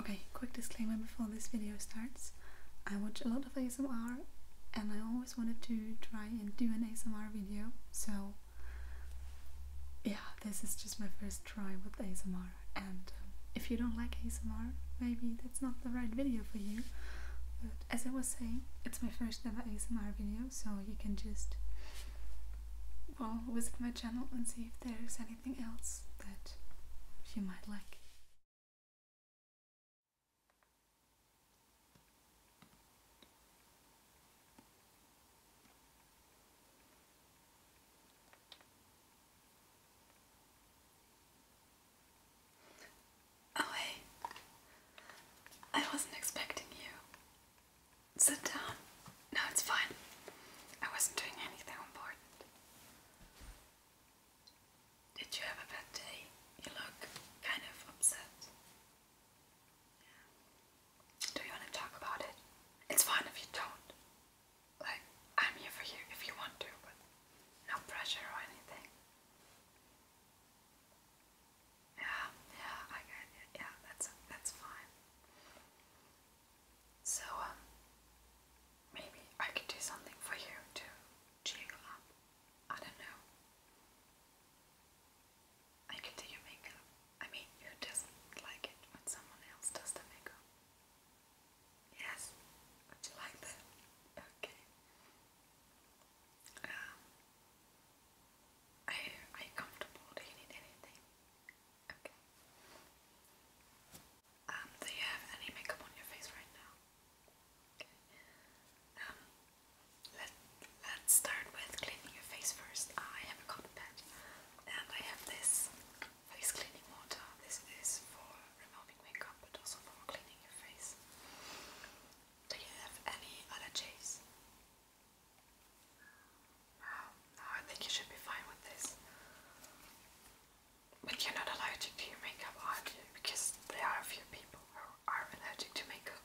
Okay, quick disclaimer before this video starts. I watch a lot of ASMR and I always wanted to try and do an ASMR video, so yeah, this is just my first try with ASMR and um, if you don't like ASMR, maybe that's not the right video for you. But as I was saying, it's my first ever ASMR video, so you can just well visit my channel and see if there's anything else that you might like. Oh, hey, I wasn't expecting you. Sit down. No, it's fine. I wasn't doing anything important. Did you have a bad day? You look kind of upset. Do you want to talk about it? It's fine if you don't. Like, I'm here for you if you want to, but no pressure or anything. Yeah, yeah, I got it. Yeah, that's that's fine. So um, maybe I could do something for you to cheer I don't know. I could do your makeup. I mean, who does like it when someone else does the makeup? Yes. Would you like that? Okay. Um, are, comfortable? Do you need anything? Okay. Um, do you have any makeup on your face right now? Okay. Um, let, let's start with cleaning your face first. I have a cotton pad and I have this face cleaning water. This is for removing makeup but also for cleaning your face. Do you have any allergies? No, I think you should be fine with this. But you're not allergic to your makeup, are you? Because there are a few people who are allergic to makeup.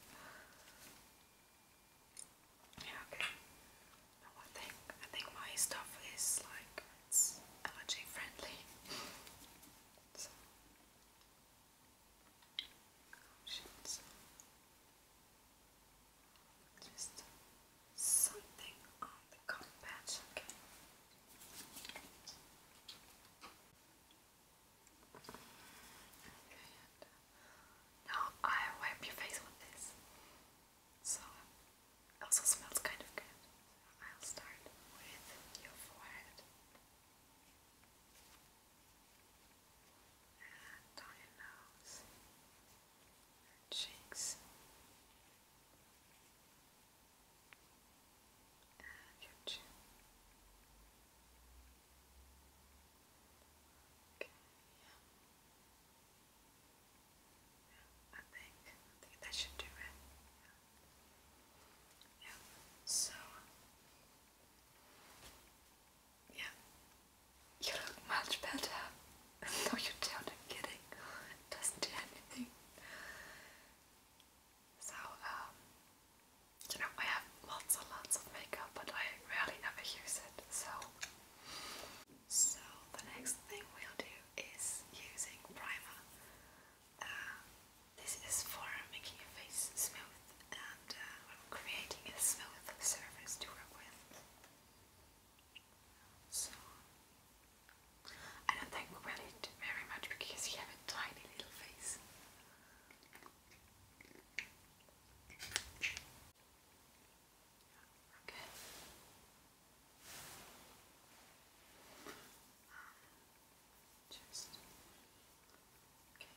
Yeah, okay. No, I think I think my stuff is like it's allergy friendly. So options. Just something on the combat, okay? now I wipe your face with this. So it also smells kind of good. I'll start with your forehead and on nose, cheeks, and chin. Okay, yeah. I think I think that should do it. yeah. So yeah. You look much better. no, you don't. I'm kidding. doesn't do anything. So, um, you know, I have lots and lots of makeup, but I rarely ever use it. So, so the next thing we'll do is using primer. Uh, this is for making your face smooth and uh, creating a smooth surface to work with. So, I don't think we will eat very much because you have a tiny little face. Okay. Um, just okay.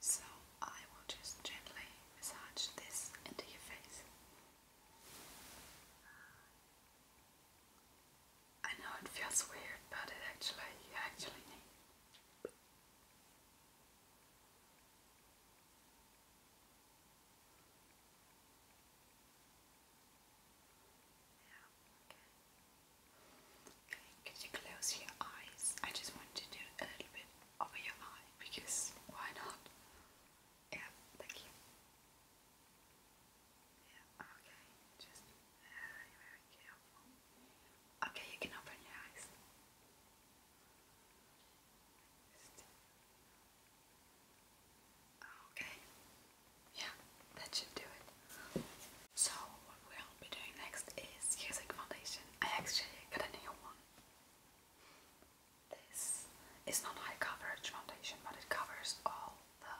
So I will just gently massage this into your face. I know it feels weird, but it actually actually need. Yeah, okay could you close your eyes? I just want to do a little bit over your eye because why not? Yeah, thank you. Yeah, okay, just very, very careful. Okay, you can open your eyes. Okay, yeah, that should do it. So what we'll be doing next is using foundation. I actually got a new one. This is not high coverage foundation, but it covers all the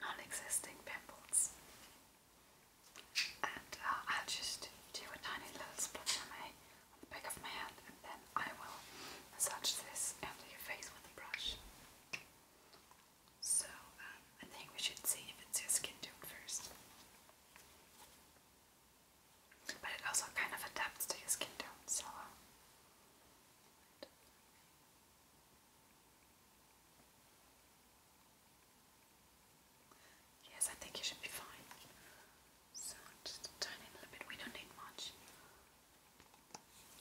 non-existing pimples. And uh, I'll just do a tiny little splotch on, the back of my hand and then I will massage this under your face with a brush. So um, I think we should see if it's your skin tone first. But it also kind of adapts to your skin tone, so. Uh, yes, I think you should be fine. So, just a tiny little bit, we don't need much.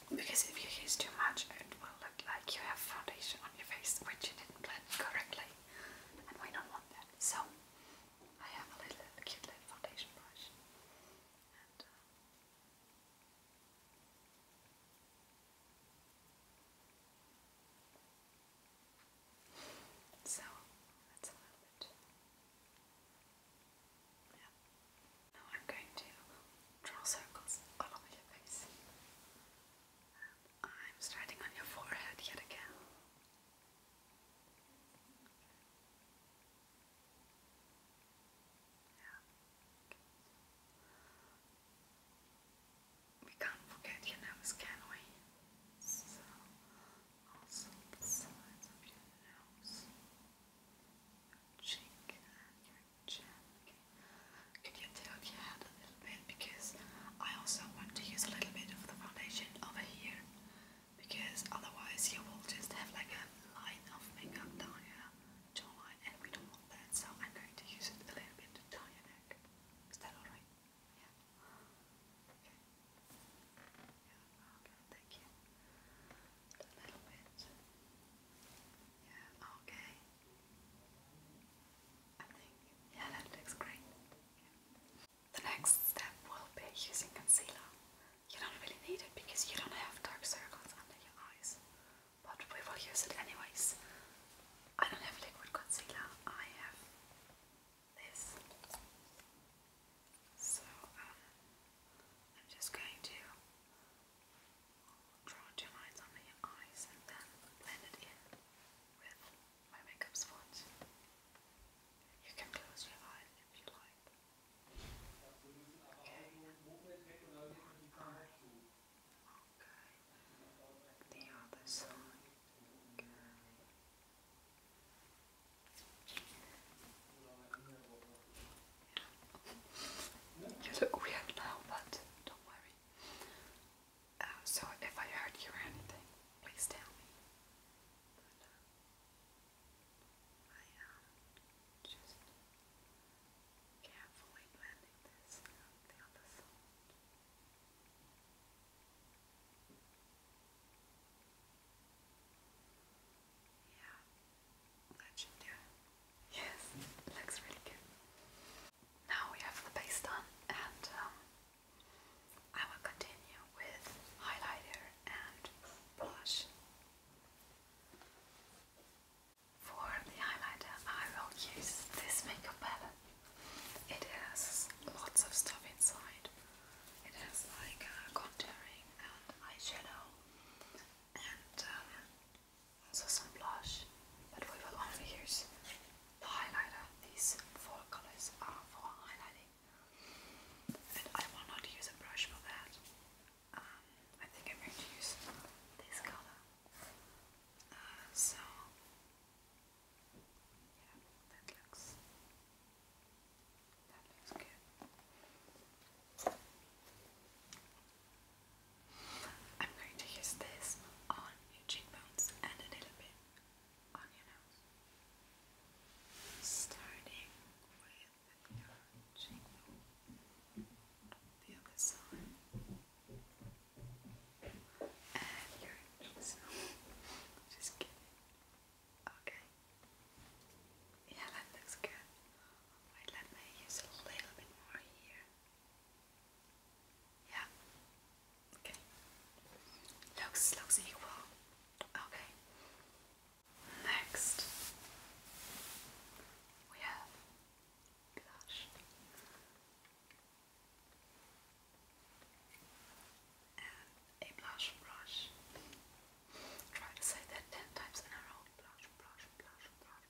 Because if you use too much, it will look like you have foundation on your face which you didn't blend correctly and we don't want that. So I have a little cute little foundation brush uh, so that's a little bit. Yeah. Now I'm going to draw circles all over your face. I'm starting on your forehead yet again. We can't forget your nose, can we? So, also the your nose, cheek, Jen. you tilt your head a little bit because I also want to use a little bit of the foundation over here because otherwise you will just have like a line of makeup down your jawline and we don't want that so I'm going to use it a little bit down your neck. Is that alright? Yeah, okay, thank you. A little bit. Yeah, okay yeah, that looks great. The next step will be using concealer. You don't really need it because you don't have dark circles under your eyes, but we will use it anyways. I don't have liquid concealer, I have this. So um, I'm just going to draw two lines under your eyes and then blend it in with my makeup sponge. You can close your eyes if you like. Okay. The other side. Yeah. You look weird now, but don't worry. Uh, so if I hurt you or anything, please tell me. Uh, I am just carefully blending this on the other side. Yeah, that should do it. Yes, looks really good. Now we have the base done and um, I will continue with highlighter and blush. For the highlighter I will use this makeup palette. It has lots of stuff inside. It has like uh, contouring and eyeshadow and um, so some blush, but we will only use the highlighter. These four colors are for highlighting, and I will not use a brush for that. Um, I think I'm going to use this color. Uh, so, yeah, that looks that looks good. I'm going to use this on your cheekbones and a little bit on your nose. Starting with your cheekbone, the other side, and your cheeks. Just kidding. Okay. Yeah, looks good. let me use a little bit more here. Yeah. Okay. Looks looks equal. Okay. Next we have blush. And a blush brush. Try to say that ten times in a row. Blush, blush, blush, blush,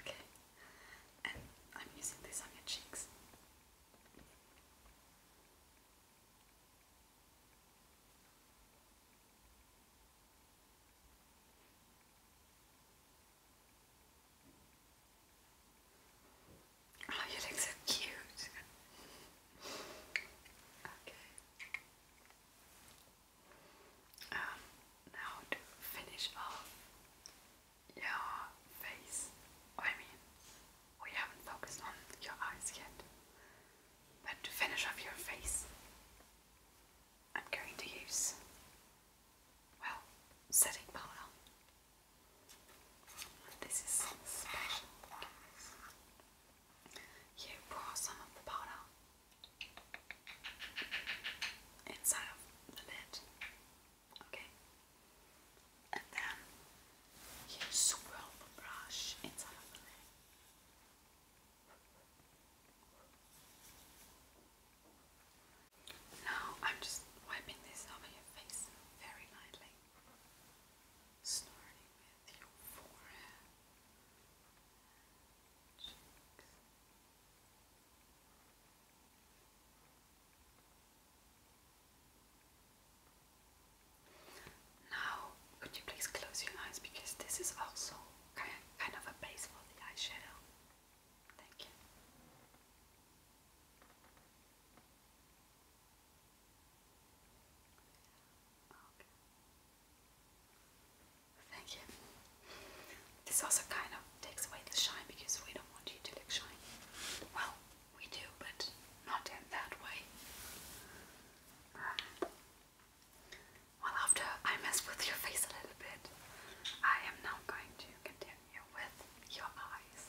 Okay, and I'm using this on your cheeks. Oh, you look so cute. okay. Um, now to finish off your face. I mean, we haven't focused on your eyes yet. But to finish off your face, I'm going to use, well, setting powder. This is special. You pour some of the powder inside of the lid Okay. And then you swirl the brush inside of the leg. Now I'm just wiping this over your face very lightly, starting with your forehead, cheeks, now, could you please close your eyes because this is also kind of a base for the eyeshadow. Thank you. Okay. Thank you. This also kind of takes away the shine because we don't want you to look shiny. Well, we do, but not in that way. well, after I mess with your face a little bit, I am now going to continue with your eyes.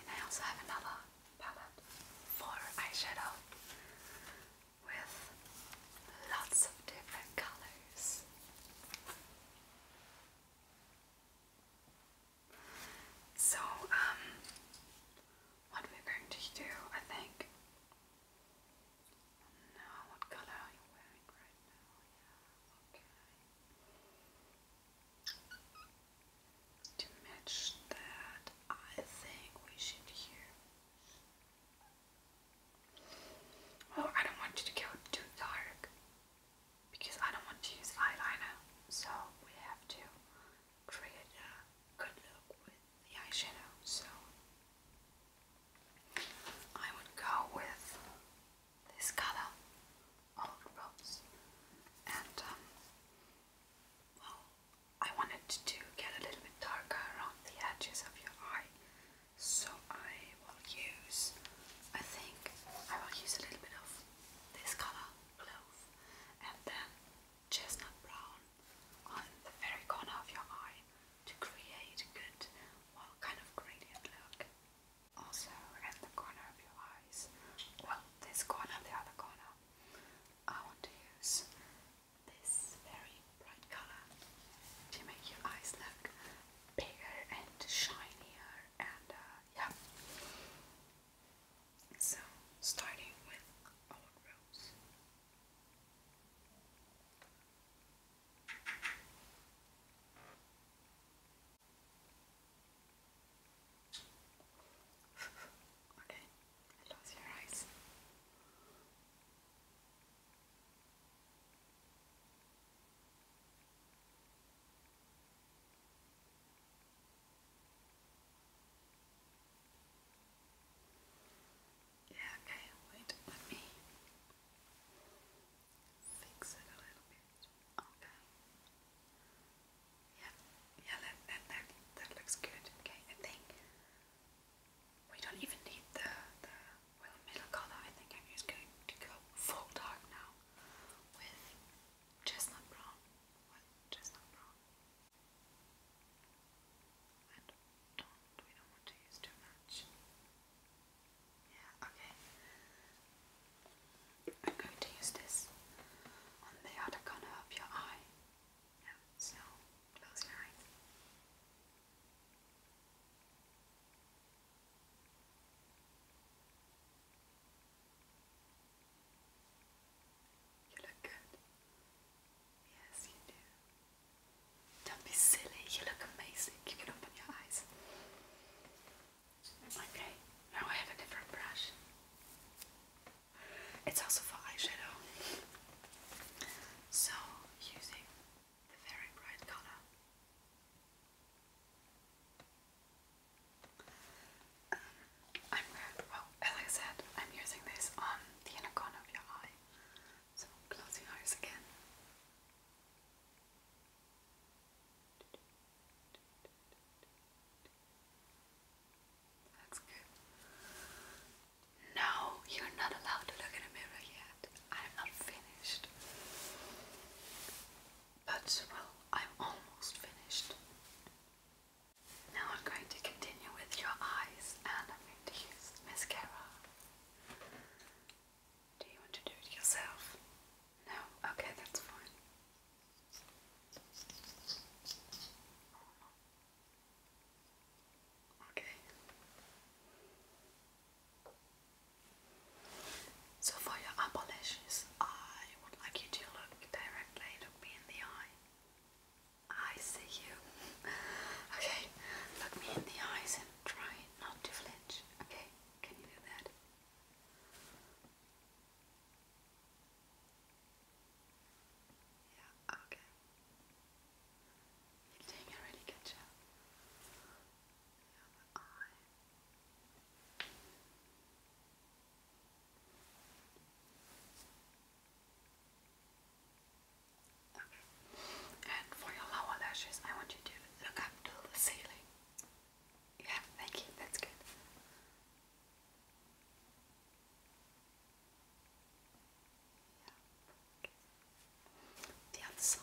And I also have another palette for eyeshadow with lots of different colors. So, um, what we're going to do, I think. you To match that, I think we should use Oh, I don't want you to go too dark because I don't want to use eyeliner, so we have to create a good look with the eyeshadow. So I would go with this color, Old Rose, and um, well, I wanted to get a little bit darker around the edges of your eye so I will use, I think I will use a little bit of this color, and then chestnut brown on the very corner of your eye to create a good, well, kind of gradient look. Also, at the corner of your eyes, well, this corner, and the other corner, I want to use this very bright color to make your eyes look bigger and shinier and uh, yeah. So starting with our rose. okay, close your eyes. Yeah, okay, wait, let me fix it a little bit. Okay. Yeah, yeah, that, that, that, that looks good. Okay, I think we don't even need the, the middle colour. I think I'm just going to go full dark now with chestnut brown. What chestnut brown? And don't we don't want to use too much. Yeah, okay. I'm going to use this on the other corner of your eye. Yeah, so close your you look good. Yes, you do. Don't be silly, you look amazing. You open your eyes. Okay, now I have a different brush. It's also for eyeshadow. So, using um, I'm going, well, as I said, I'm using this on the inner corner of your eye. So close your eyes again. That's good. No, you're not allowed to look in a mirror yet. I'm not finished. But, well, I'm almost finished. Now I'm going to continue with your eyes and I'm going to use mascara. Do you want to do it yourself? No? Okay, that's fine. Okay. So for your upper lashes, I would like you to look directly, look me in the eye. I see you. okay, look me in the eyes and try not to flinch. Okay, can you do that? Yeah, okay. You're doing a really good job. And for your lower lashes, I want you to look up to the ceiling. Yeah, thank you. That's good. The other side.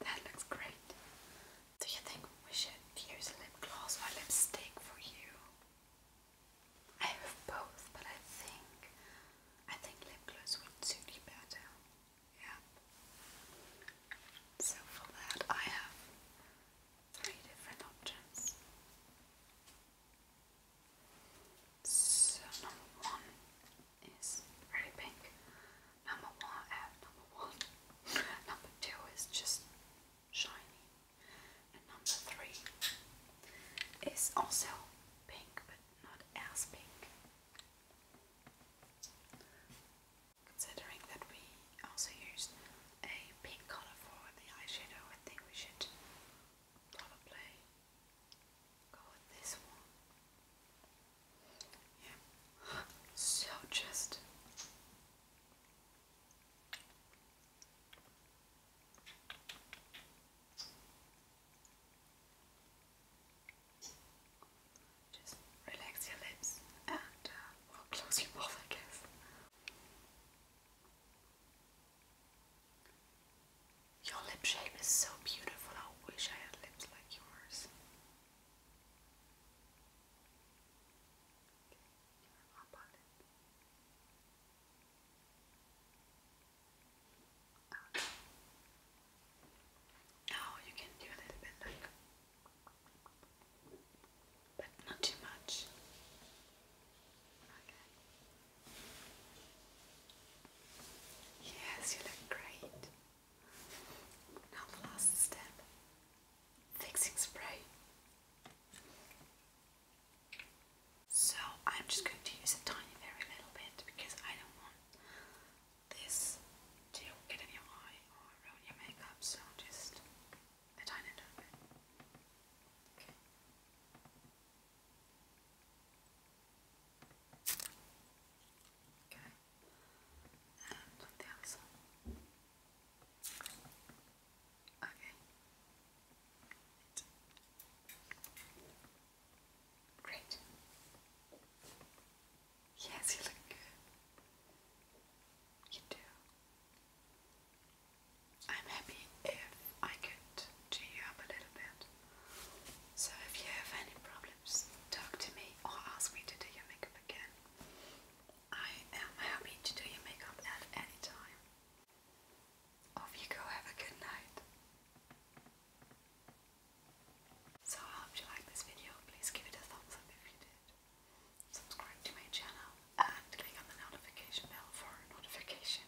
That looks great. Do you think we should use lip gloss or lipstick for you? I have both, but I think I think lip gloss would suit you better. Yeah. So for that I have three different options. So number one is very pink. Number one, uh, number one, number two is just shiny, and number three is also pink, but not as pink. Considering that we also used a pink color for the eyeshadow, I think we should probably go with this one. Yeah, so just just relax your lips and uh, will close your mouth, I guess. Your lip shape is so beautiful. I wish I had lips like yours. Uh, now you can do a little bit like but not too much. Okay. Yes, you look great. Now the last step, fixing spray. So I'm just going to use a tiny very little bit because I don't want this to get in your eye around your makeup, so just a tiny bit. Okay. Okay. And the other side. Okay. Great. Yes, you look good. You do. I'm happy if I could cheer you up a little bit. So if you have any problems, talk to me or ask me to do your makeup again. I am happy to do your makeup at any time. Off you go, have a good night. So I hope you liked this video, please give it a thumbs up if you did subscribe to my channel, and click on the notification bell for notification.